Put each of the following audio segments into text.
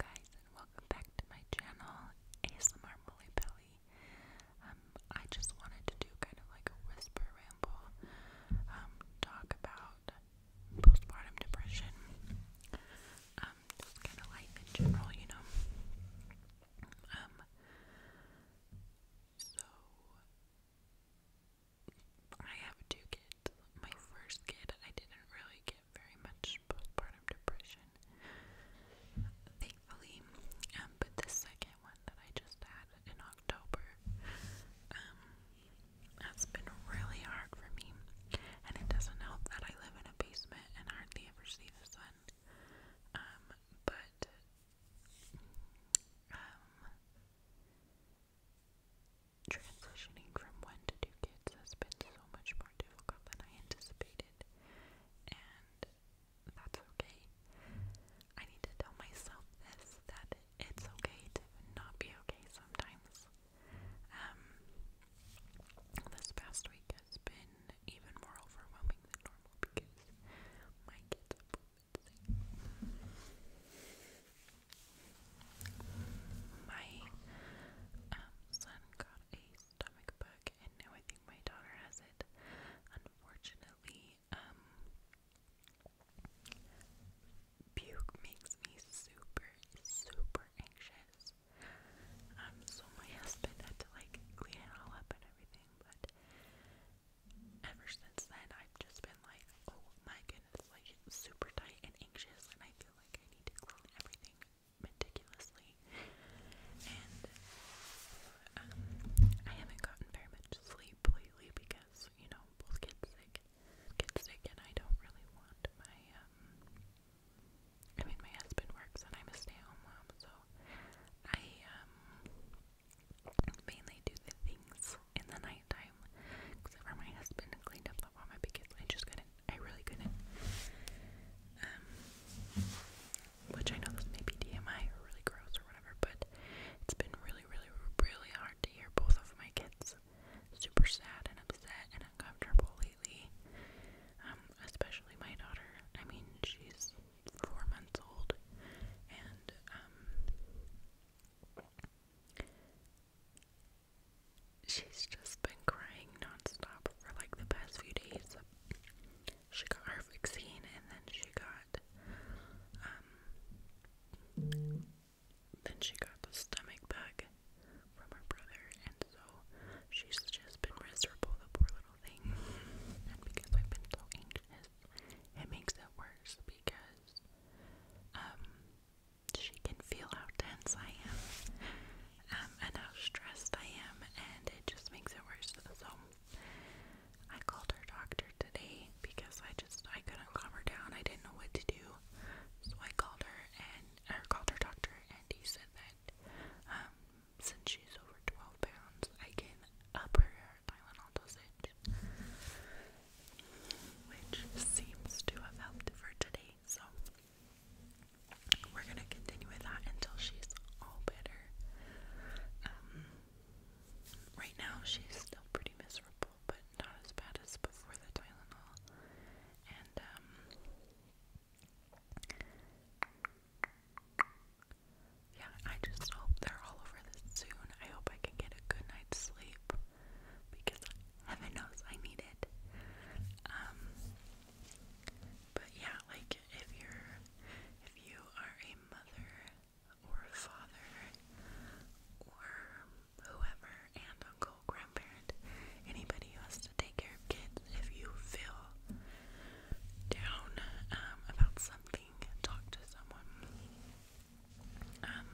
guys welcome back to my channel ASMR Um, I just wanted to do kind of like a whisper ramble, um, talk about postpartum depression, um, just kind of life in general, you know. Um, so I have two kids. My first kid, I didn't really get very much postpartum depression, thankfully. Um, but the second one that I just had in October um, has been really hard for me, and it doesn't help that I live in a basement and hardly ever see the sun. Um, but um, transitioning from one to two kids has been so much more difficult than I anticipated, and that's okay. I need to tell myself this that it's okay to not be okay sometimes. Um, this past week has been even more overwhelming than normal because my kids are my um, son got a stomach bug, and now I think my daughter has it. Unfortunately, um, makes me super, super anxious. Um, so my husband had to like clean it all up and everything, but ever since then, I've just been like, oh my goodness, like super tight and anxious, and I feel like I need to clean everything meticulously, and um, I haven't gotten very much sleep lately because you know both kids sick, kids sick, and I don't really want my um. I mean, my husband works and I'm a stay-at-home mom, so I um mainly do the things in the nighttime. Except for my husband cleaned up the room because I just couldn't I really couldn't. Um, which I know this may be DMI or really gross or whatever, but it's been really, really, really hard to hear both of my kids super sad and upset and uncomfortable lately. Um, especially my daughter. I mean, she's four months old, and um, She's just been crying nonstop for like the past few days. She got her vaccine and then she got um then she got the stomach bug from her brother and so she's just been miserable, the poor little thing. And because I've been so anxious, it makes it worse because um, she can feel how tense I am um, and how stressed I am, and it just makes it worse. So I called her doctor today because I just I couldn't calm her down. I didn't know what to do, so I called her and I called her doctor, and he said that um, since she's over 12 pounds, I can up her Tylenol dosage, which seems to have helped for today. So we're gonna continue with that until she's all better. Um, right now she's still pretty miserable, but not as bad as before the Tylenol. And um, yeah, I just hope they're all over this soon. I hope I can get a good night's sleep because heaven knows I need it. Um, but yeah, like if you're if you are a mother or a father or whoever, aunt, uncle, grandparent, anybody who has to take care of kids, if you feel down um, about something, talk to someone. Um,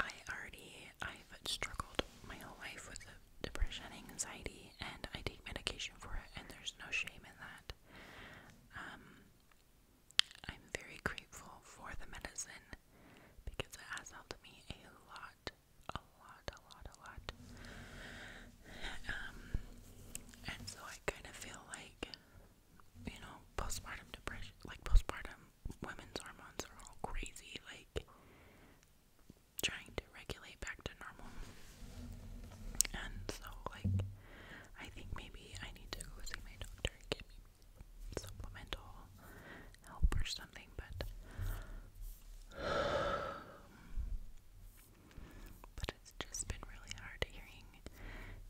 I already I've struggled my whole life with depression, and anxiety, and I take medication for it, and there's no shame in that. Um, I'm very grateful for the medicine because it has helped me a lot, a lot, a lot, a lot. Um, and so I kind of feel like you know, postpartum depression, like postpartum women's hormones are all crazy, like trying to regulate back to normal. And so, like, I think maybe I need to go see my doctor and get me supplemental help or something, but. But it's just been really hard hearing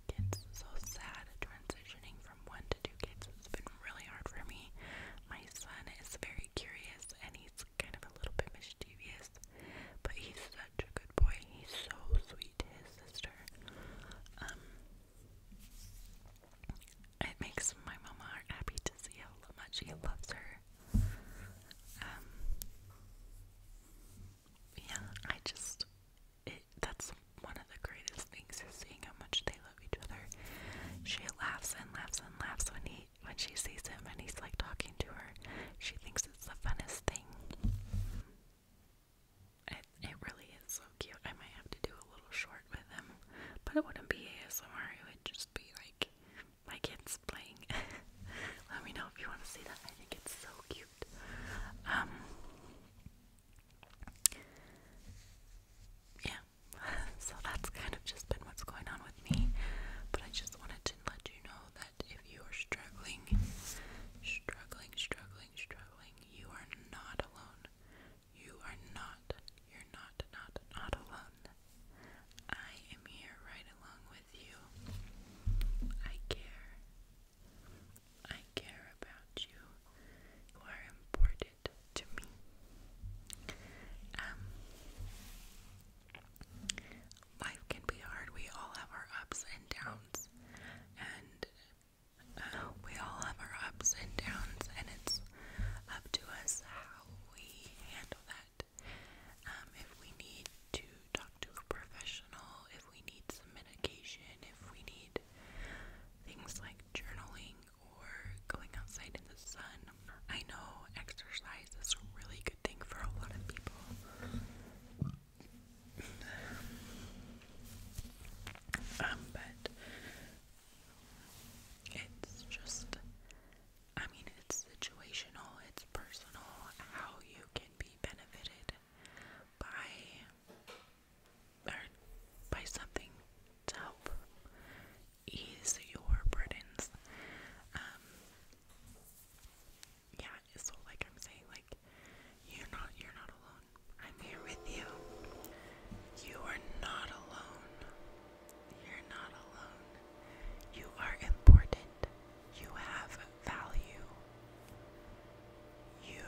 kids so sad transitioning from one to two kids has been really hard for me. My son is very curious and he's kind of a little bit mischievous, but he's such a good boy. He's so sweet to his sister. Um, it makes my mama heart happy to see how much he loves her. Um, yeah, I just that's one of the greatest things is seeing how much they love each other. She laughs and laughs and laughs when he when she sees him and he's like talking to her. She thinks it's the funnest thing. It it really is so cute. I might have to do a little short with him, but it wouldn't be ASMR. It would just be like my kids playing. Let me know if you want to see that. I think it's so cute. Um, yeah, so that's kind of just been what's going on with me. But I just wanted to let you know that if you are struggling, struggling, struggling, struggling, you are not alone. You are not, you're not, not, not alone. I am here right along with you. I care. I care about you. You are important to me. Um, life can be hard. We all have our ups and downs, and uh, we all have our ups and downs, and it's up to us how we handle that. Um, if we need to talk to a professional, if we need some medication, if we need Things like journaling or going outside in the sun. I know exercise is a really good thing for a lot of people. Um, but it's just, I mean, it's situational, it's personal, how you can be benefited by or by something to help ease your burdens. Um, yeah, so like I'm saying, like you're not you're not alone. I'm here with you. You are not alone. You're not alone. You are important. You have value. You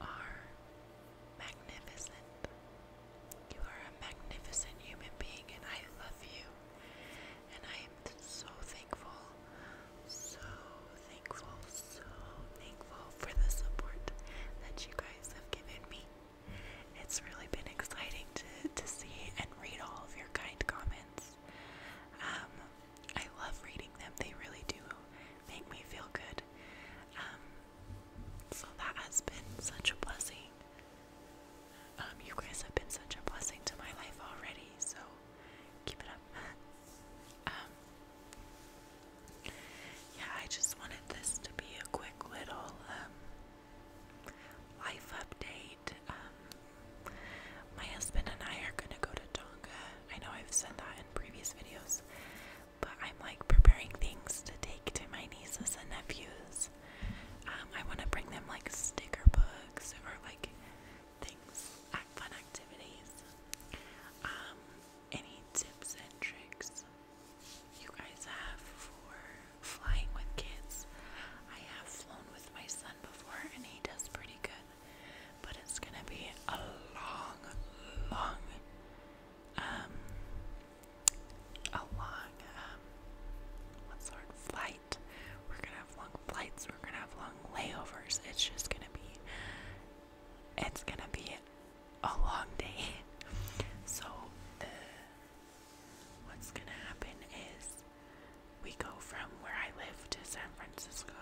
are magnificent. You are a magnificent human being, and I love you. And I am so thankful, so thankful, so thankful for the support that you guys have given me. It's really been exciting to, to see and read all of your kind comments. Um, I love reading them. They really do make me feel good. Um, so that has been such a blessing. Um, you guys have been such a blessing to my life already, so keep it up. Um, yeah, I just wanted this to be a quick little life update. my husband and I are gonna go to Tonga I know I've said that in previous videos, but I'm like preparing things to take to my nieces and nephews. Um, I want to bring them like sticker books or like things, fun activities. Um, any tips and tricks you guys have for flying with kids? I have flown with my son before, and he does pretty good but it's gonna be a long, long, um, a long, um, what's the word? Flight. We're gonna have long flights. We're gonna have long layovers. It's just gonna be. It's gonna be a long day. So what's gonna happen is we go from where I live to San Francisco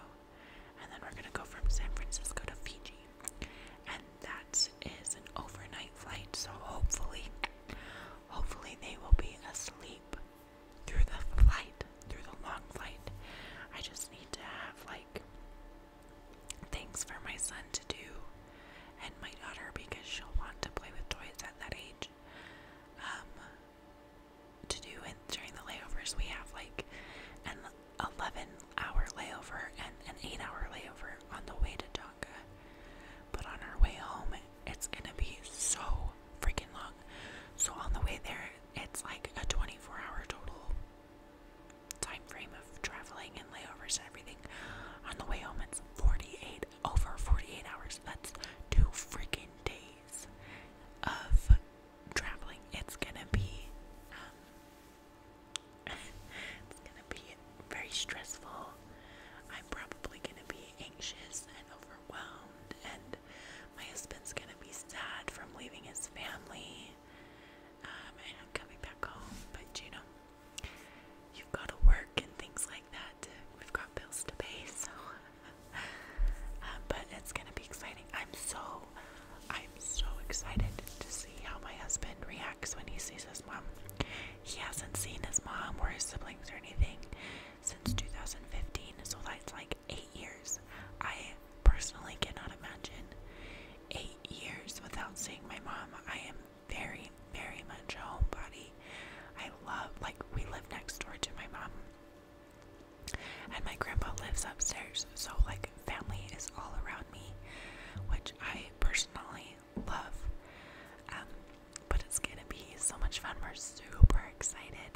and then we're gonna go from San Francisco to Fiji, and that is an overnight flight. So hopefully, hopefully they will be asleep through the flight, through the long flight. I just need to have like things for my son to do and my daughter because she'll want to play with toys at that age. Um, to do and during the layovers we have like an 11 hour layover and an 8 hour layover on the way to Tonga but on our way home it's gonna be so freaking long so on the way there it's like a 24 hour total time frame of traveling and layovers and everything on the way home it's 48 over 48 hours that's two freaking days of traveling, it's gonna be um, it's gonna be very stressful. I'm probably gonna be anxious and overwhelmed, and my husband's gonna be sad from leaving his family um, coming back home. But you know, you've got to work and things like that. We've got bills to pay, so. Uh, but it's gonna be exciting. I'm so, I'm so excited to see how my husband reacts when he sees his mom. He hasn't seen his mom or his siblings or anything since 2015, so that's like eight years. I personally cannot imagine eight years without seeing my mom. I am very, very much a homebody. I love, like, we live next door to my mom. And my grandpa lives upstairs, so like family is all around me, which I personally love. Um, but it's gonna be so much fun. We're super excited.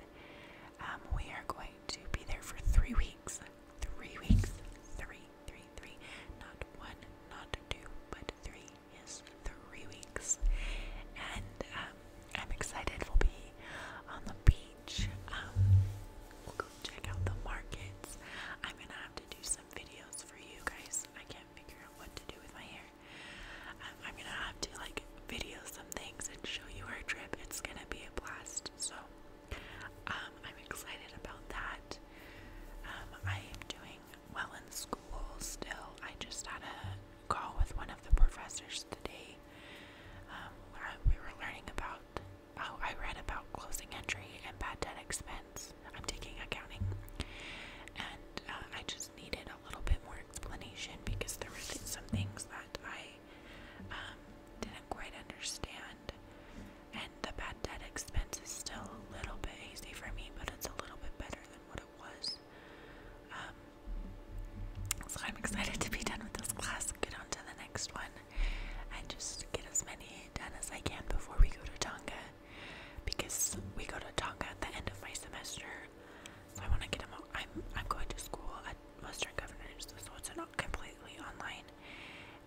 Um, we are going to be there for three weeks. Three weeks. Three, three, three. Not one, not two, but three is three weeks. And um, I'm excited. We'll be on the beach. Um, we'll go check out the markets. I'm gonna have to do some videos for you guys. I can't figure out what to do with my hair. Um, I'm gonna have to like video some things and show you our trip. It's gonna be a blast. So um, I'm excited about that. I am doing well in school still. I just had a call with one of the professors today um, we were learning about, oh, I read about closing entry and bad debt expense. I'm taking accounting. And uh, I just needed a little bit more explanation because there were some things that I um, didn't quite understand. And the bad debt expense is still a little bit hazy for me, but it's a little bit better than what it was. Um, so I'm excited to be done with this class, get on to the next one, and just get as many done as I can before we go to Tonga. Because we go to Tonga at the end of my semester, so I want to get them all. I'm I'm going to school at Western Governors, so it's not completely online,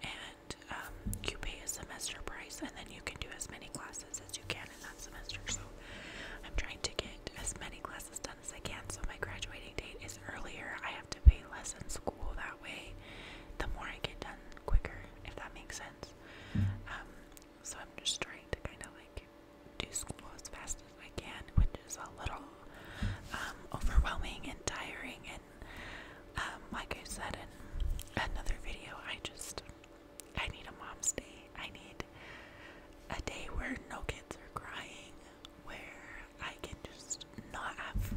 and um, you pay a semester price, and then you can do as many classes as you can in that semester. So I'm trying to get as many classes as done as I can, so my graduating date is earlier. I have to pay less in school that way. The more I get done quicker, if that makes sense. Mm-hmm. Um, so I'm just trying to kind of like do school as fast as I can, which is a little um, overwhelming and tiring. And um, like I said in another video, I just I need a mom's day. I need a day where no kids are crying where I can just not have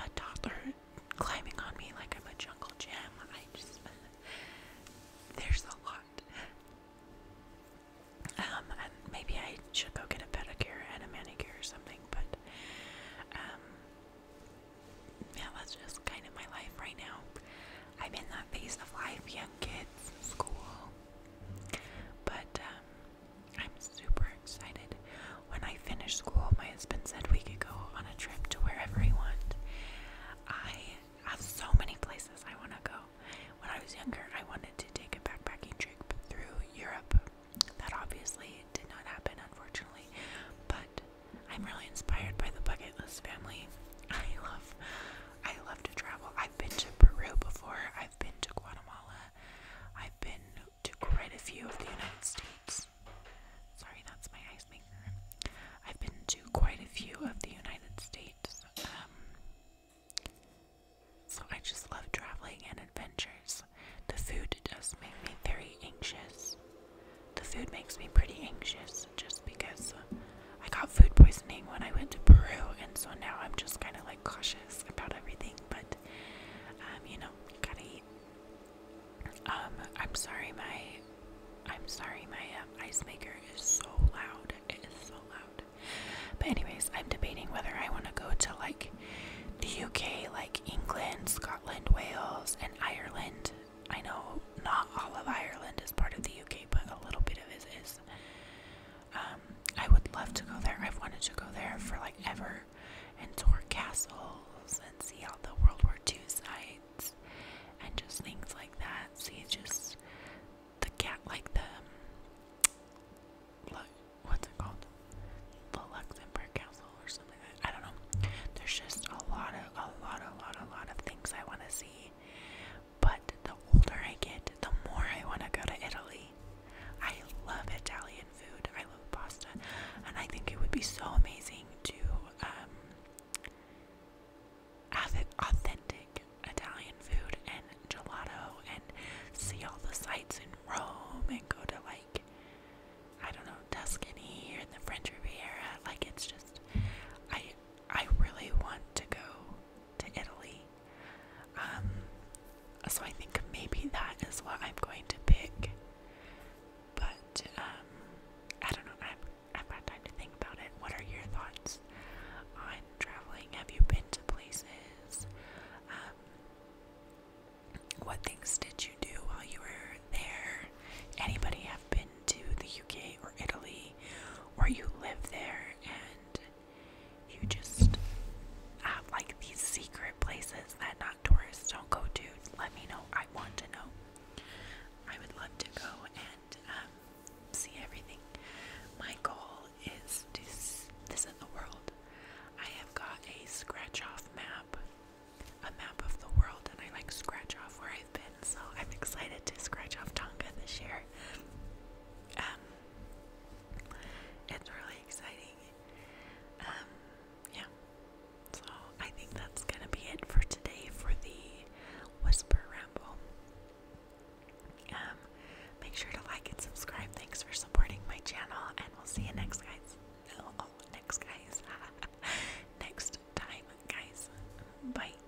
a toddler climbing on me like I'm a jungle gym. I just there's a lot. Um, and maybe I should go get a pedicure and a manicure or something, but um, yeah, that's just kind of my life right now. I'm in that phase of life, young kids, school, but um, I'm super excited. When I finish school, my husband said we could go on a trip to wherever we want. I have so many places I want to go. When I was younger, I wanted to take a backpacking trip through Europe. That obviously did not happen, unfortunately. But I'm really inspired by the bucket list family. I love, I love to travel. I've been to Peru before. I've been to Guatemala. I've been to quite a few of the United States. Sorry, that's my ice maker. I've been to quite a few of the United States. Um, so I just love traveling and adventures. The food does make me very anxious. The food makes me pretty anxious just because I got food poisoning when I went to Peru, and so now I'm just kind of like cautious about everything. But um, you know, gotta eat. Um, I'm sorry, my, I'm sorry, my uh, ice maker is so loud. It is so loud. But anyways, I'm debating whether I want to go to like the UK, like England, Scotland, Wales, and Ireland. I know not all of Ireland is part of the UK, but a little bit of it is. Um, I would love to go there. I've wanted to go there for like ever and tour castles and see all the World War II sites and just things like that. See just the cat like the um, look what's it called? The Luxembourg Castle or something like that. I don't know. There's just a lot of a lot a lot a lot of things I wanna see. But the older I get, the more I want to go to Italy. I love Italian food. I love pasta, and I think it would be so amazing to um, have authentic Italian food and gelato, and see all the sights in Rome, and go to like I don't know Tuscany or the French Riviera. Like it's just I I really want to go to Italy. Um, so I think maybe that is what I'm going to pick. But um, I don't know. i am I've got time to think about it. What are your thoughts on traveling? Have you been to places? Um, what things did you do while you were there? Anybody have been to the UK or Italy, or you live there and you just have like these secret places that not tourists don't go to. Let me know. I want to know. I would love to go and um, see everything. My goal is to visit the world. I have got a scratch off map, a map of the world, and I like scratch off where I've been. So I'm excited to scratch off Tonga this year. Um, it's really exciting. Um, yeah. So I think that's gonna be it for today for the Whisper Ramble. Um, make sure to like and subscribe. Thanks for supporting my channel, and we'll see you next guys. Oh, oh, next guys. next time, guys. Bye.